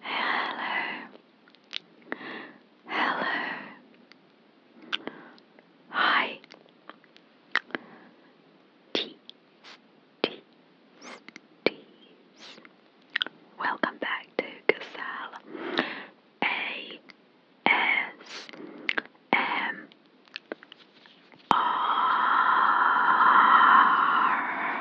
Hello, hello, hi, teas, Welcome back to Gazelle A S M R.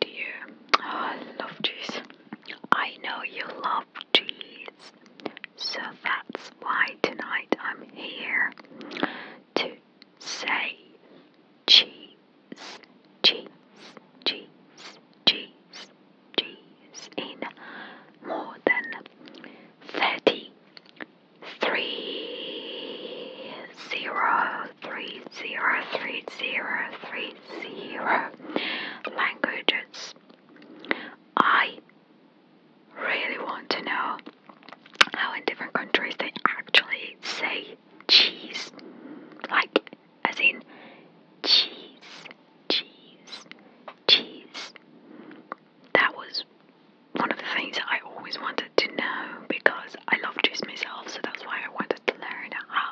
dear. Oh, love cheese. I know you love cheese. So that's why tonight I'm here to say cheese, cheese, cheese, cheese, cheese in more than 33 zero three zero three zero three zero languages. I really want to know how in different countries they actually say cheese. Like, as in cheese, cheese, cheese. That was one of the things that I always wanted to know because I love cheese myself, so that's why I wanted to learn how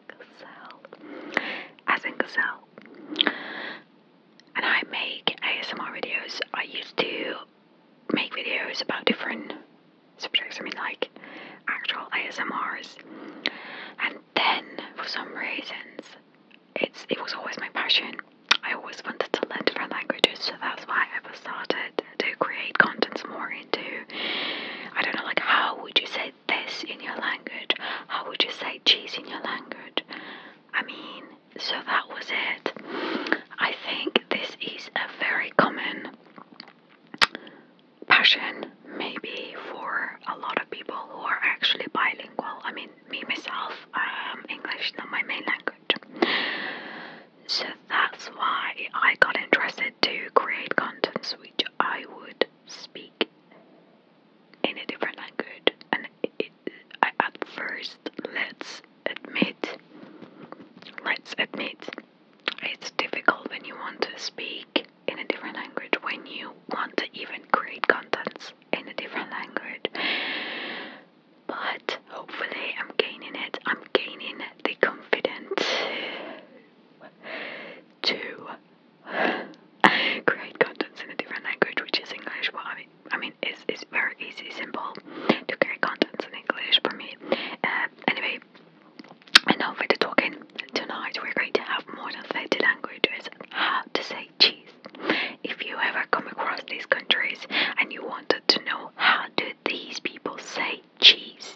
gazelle, gazelle. And I make ASMR videos. I used to make videos about different subjects. I mean, like actual ASMRs. And then, for some reasons, it's it was always my passion. I always wanted to learn different languages, so that's why I started to create contents more into. I don't know, like how would you say this in your language? How would you say cheese in your language? I mean, so that was it. I think this is a very common passion, maybe for a lot of people who are actually bilingual. I mean, me myself, I am um, English not my main language. So that's why I got interested to create contents which I would speak in a different language, and it, I, at first, let's admit, let's admit, it's difficult when you want to speak in a different language, when you want to even create contents in a different language. But hopefully, I'm gaining it. I'm gaining the confidence to Create contents in a different language, which is English. Well, I mean, I mean, it's it's very easy, simple to create contents in English for me. Uh, anyway, enough with the talking. Tonight we're going to have more than 30 languages how to say cheese. If you ever come across these countries and you wanted to know how do these people say cheese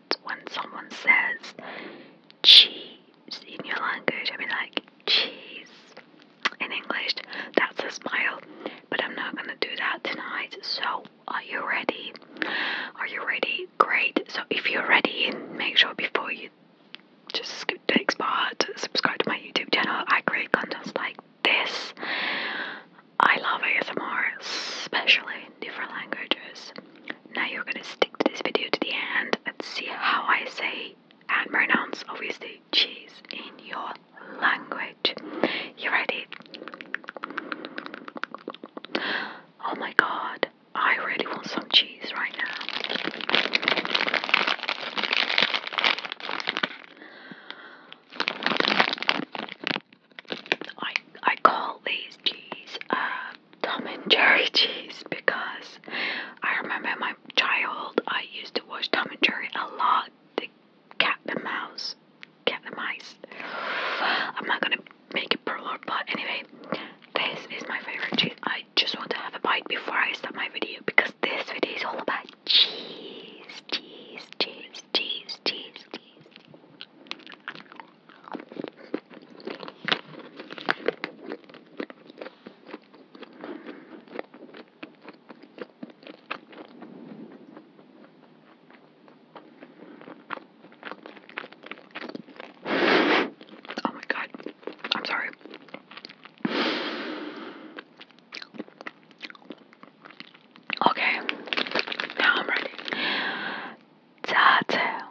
when someone says cheese in your language, I mean, like cheese in English, that's a smile. But I'm not gonna do that tonight. So, are you ready? Are you ready? Great. So, if you're ready, make sure before you just skip the next part, subscribe to my YouTube channel. I create content like this. I love ASMR, especially different languages. Now you're gonna stick to this video to the end and see how I say and pronounce obviously cheese in your language. You ready? Oh my god, I really want some cheese right now. I I call these cheese uh, Tom and Jerry cheese because I remember my childhood I used to watch Tom and Jerry a lot. The cat and mouse, cat and mice. I'm not gonna make it prologue, but anyway, this is my favorite cheese. I just want to have a bite before I start my video because this video is all about cheese, cheese, cheese, cheese, cheese, cheese. Oh my god. I'm sorry. Okay. Now I'm ready. Tattoo.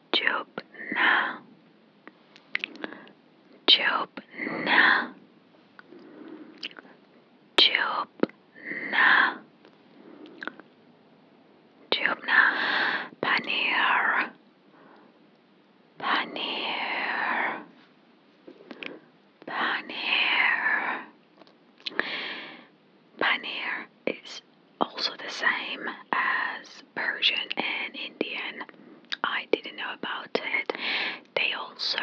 Jobna Jobna Jobna Jobna Paneer Paneer Paneer Paneer is also the same as Persian and Indian. I didn't know about it. They also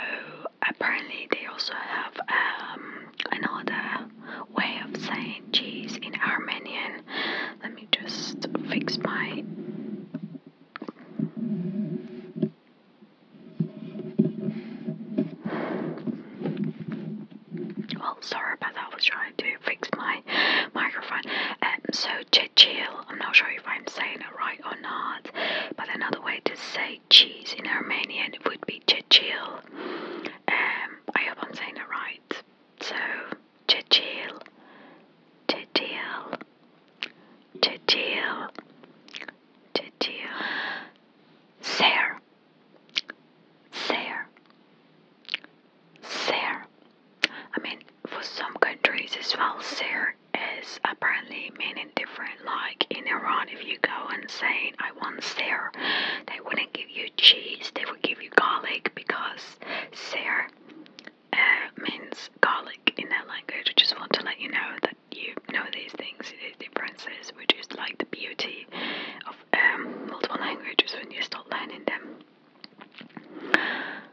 apparently they also have um, another way of saying cheese in Armenian. Let me just fix my well sorry but I was trying to to fix my microphone. Um, so Chechil, I'm not sure if I'm saying it right or not, but another way to say cheese in Armenian would be Chechil. Um, I hope I'm saying it right. So Chechil, Chechil, Chechil, Chechil. Ser, Ser, Ser. I mean, for some countries as well, sir is apparently meaning different. Like in Iran, if you go and say I want sir, they wouldn't give you cheese; they would give you garlic because sir uh, means garlic in their language. I just want to let you know that you know these things, these differences, which is like the beauty of um, multiple languages when you start learning them.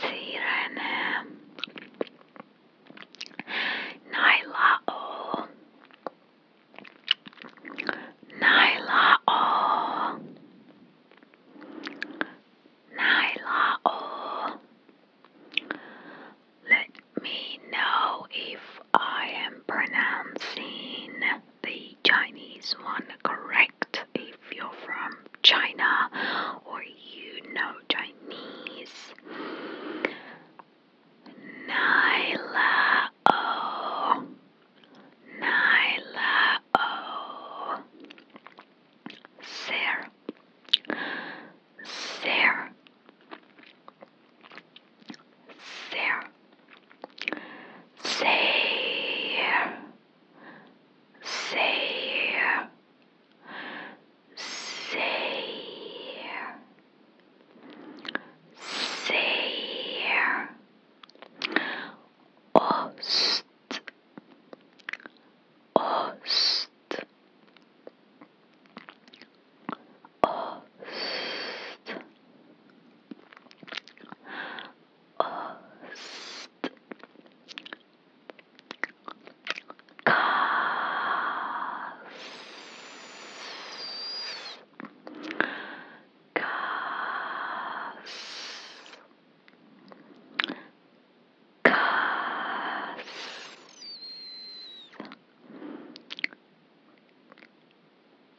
Sirene Naila O Naila O Naila O Let me know if I am pronouncing the Chinese one correct if you're from China or you know Chinese. Nyla O. Nyla O. Sarah. Sarah. Sarah. Sarah say, say, say, ost, ost, ost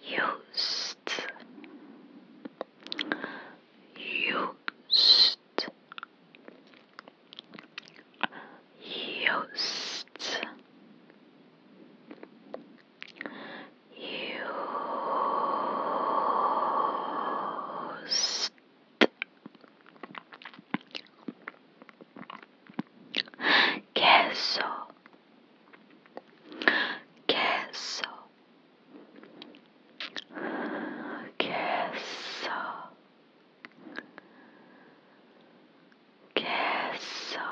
used used used used queso queso queso queso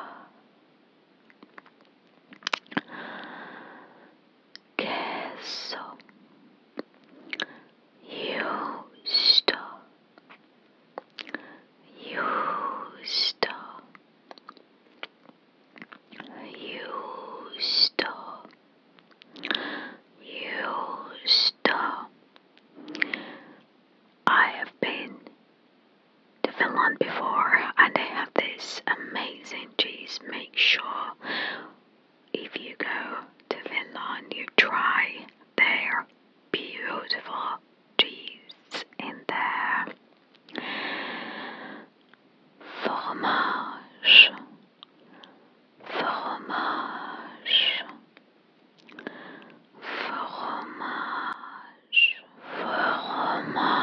queso justo justo used to, used to. I have been to Finland before and they have this amazing cheese. Make sure if you go to Finland you try their beautiful cheese in their fromage fromage, fromage, fromage, fromage. Fromage,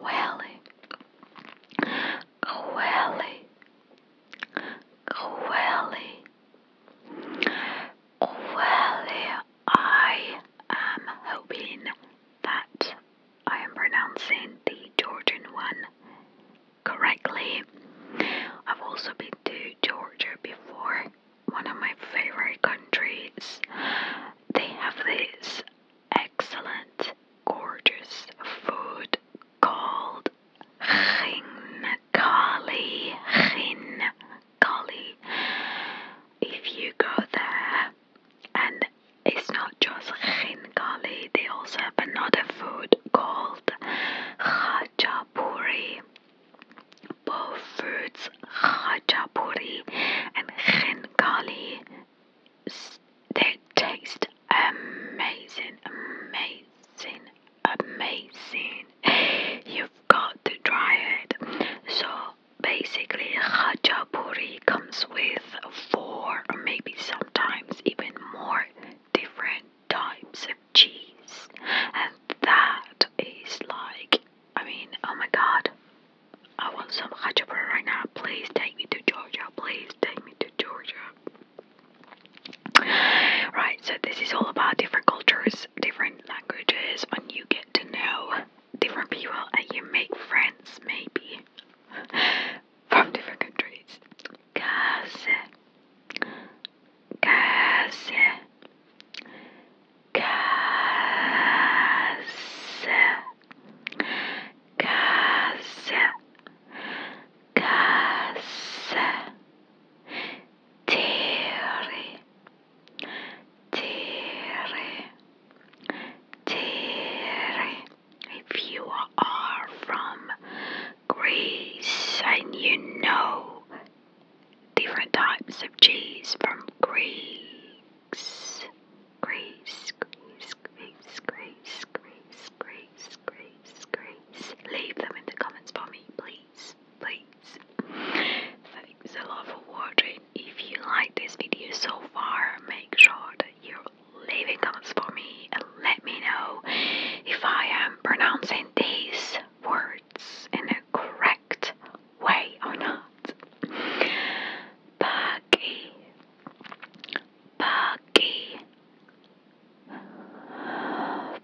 Welly, welly, welly, welly. I am hoping that I am pronouncing the Georgian one correctly. I've also been to Georgia before one of my favorite countries. They have this excellent, gorgeous food called Khinkali. Khinkali. If you go there, and it's not just Khinkali, they also have another food called Khachapuri both foods khajapuri and khenkali they taste amazing amazing amazing you've got to try it so basically khajapuri comes with four or maybe sometimes even more different types of cheese, and that is like, I mean, oh my god, I want some hachapuri right now. Please take me to Georgia. Please take me to Georgia. Right, so this is all about different cultures, different languages, and you get to know different people and you make friends, maybe, from different countries. Cause Kaze. Kaze. Kaze. Kaze. Tere. Tere. Tere. If you are from Greece and you know different types of cheese from Greece, Greece, Greece, Greece, Greece, Greece, Greece, Greece, Greece. Leave them in the comments for me, please, please. Thanks a lot for If you like this video so far, make sure that you leave comments for me and let me know if I am pronouncing these words in a correct way or not. Buggy, buggy, buggy,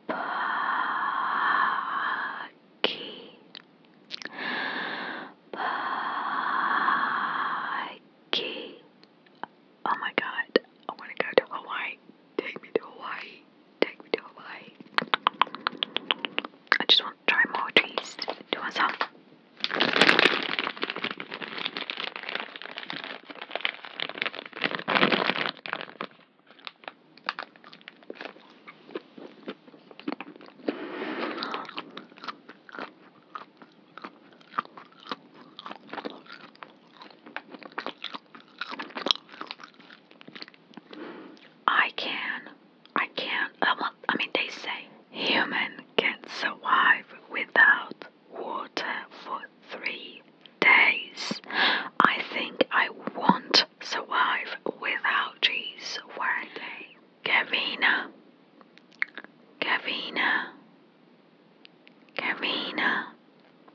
buggy. Oh my god, I want to go to Hawaii. Take me to Hawaii take video away. I just want to try more trees to myself. I can. I can't. I mean, they say human can survive without water for three days. I think I won't survive without cheese one day. Gavina, Gavina, Gavina,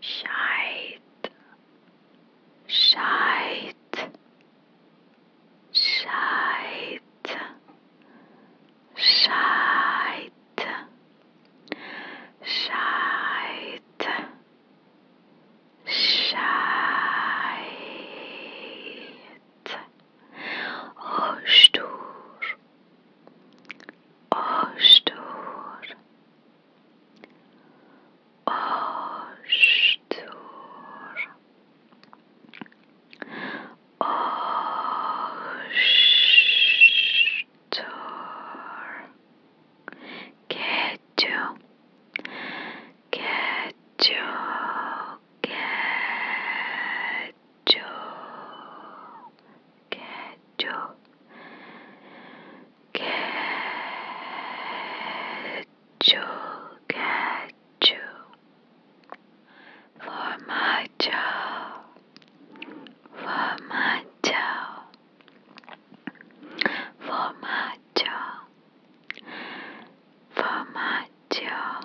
Scheit, Scheit, Scheit, Scheit, Scheit, Scheit. آشتور آشتور آشتور آشتور گچو گچو گچو Ketchup, ketchup, ketchup, ketchup. For my child, for my child, for my child, for my child.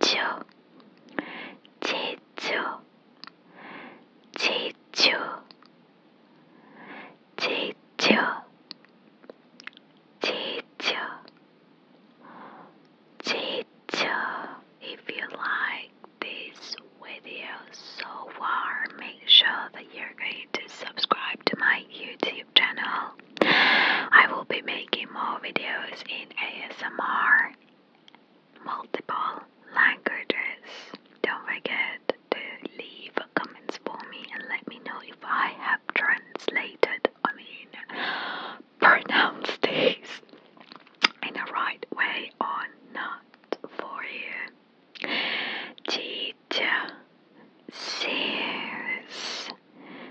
Chicho, Chicho, Chicho, Chicho, Chicho, Chicho. If you like this video so far, make sure that you're going to subscribe to my YouTube channel. I will be making more videos in ASMR multiple languages. Don't forget to leave comments for me and let me know if I have translated, I mean, pronounced these in the right way or not for you. Teacher,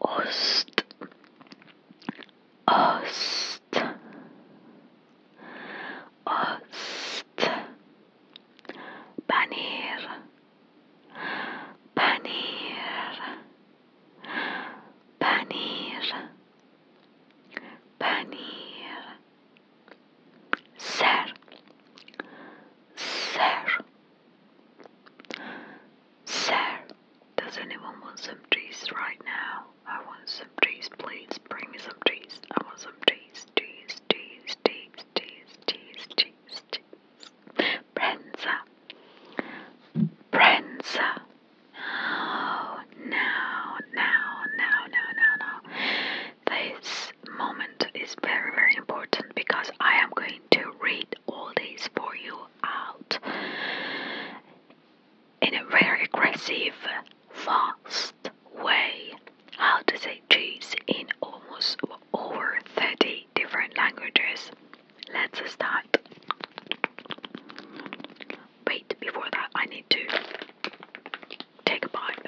Ost. Ost. Ost. Paneer. Paneer. Paneer. Paneer. Sir, ser, ser. Does anyone want some trees right now? I want some trees, please. Bring me some trees. I want some trees, trees, trees, trees, trees, trees, trees, trees. Prensa, prensa. Oh, no, no, no, no, no, no. This moment is very, very important because I am going to read all these for you out in a very aggressive, fast way. How to say cheese in almost over 30 different languages. Let's start. Wait, before that, I need to take a bite.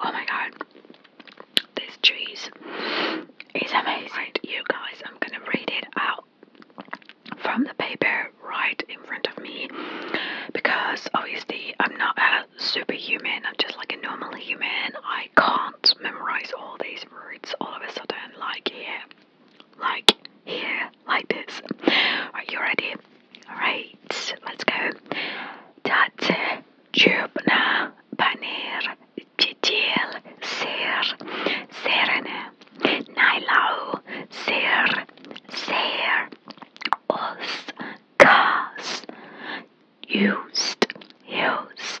Oh my god, this cheese is amazing. Right, you guys, I'm gonna read it out from the paper right in front of me because obviously I'm not a superhuman, I'm just like a normal human. I can't memorize all these words all of a sudden, like, yeah like here, like this. Are you ready? Alright, let's go. That jubna banir jidil sir serene nailau sir ser os kas used used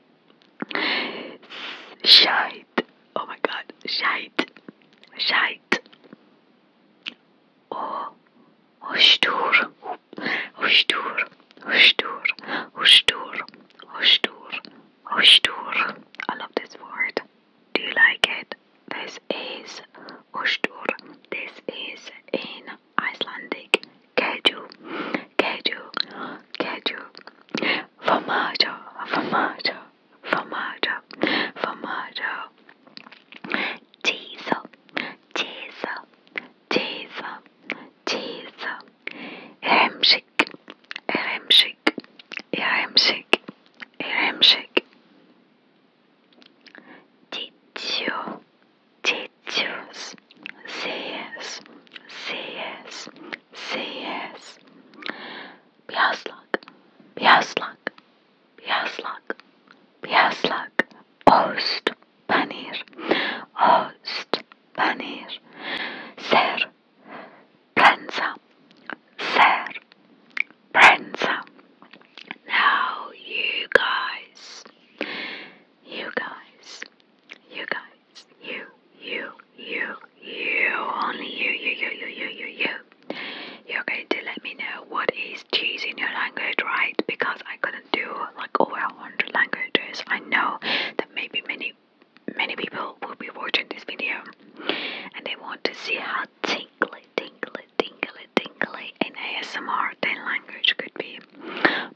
Shite. Oh my god. Shite. Shite. Oh. Hoştur. Hoştur. Hoştur. Hoştur. Hoştur. Hoştur. I love this word. Do you like it? This is hoştur. This is in Icelandic keju queijo, queijo, formaggio, formaggio, formaggio, formaggio, cheese, cheese, cheese, cheese, remshik, remshik, remshik, remshik. Titios, titios, seas, seas. CS. Piaslak, piaslak, piaslak, piaslak. Ost, paneer, ost, paneer. Ser, prensa, ser, prensa. Now you guys, you guys, you guys, you, you, you, you, only you, you, you, you, you, you, you. You're going to let me know what is cheese in your language, right? Because I couldn't do like over a hundred languages. I know that maybe many, many people will be watching this video and they want to see how tingly, tingly, tingly, tingly in ASMR 10 language could be.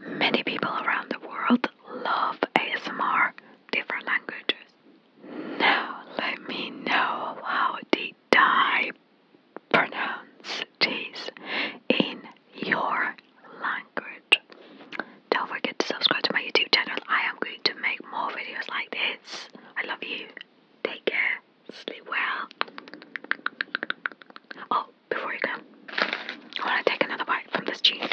Many people around the world love ASMR, different languages. Now let me know how did die. pronounce this in your language. Don't forget to subscribe to my YouTube channel. I am going to make more videos like this. I love you. Take care. Sleep well. Oh, before you go, I want to take another bite from this cheese.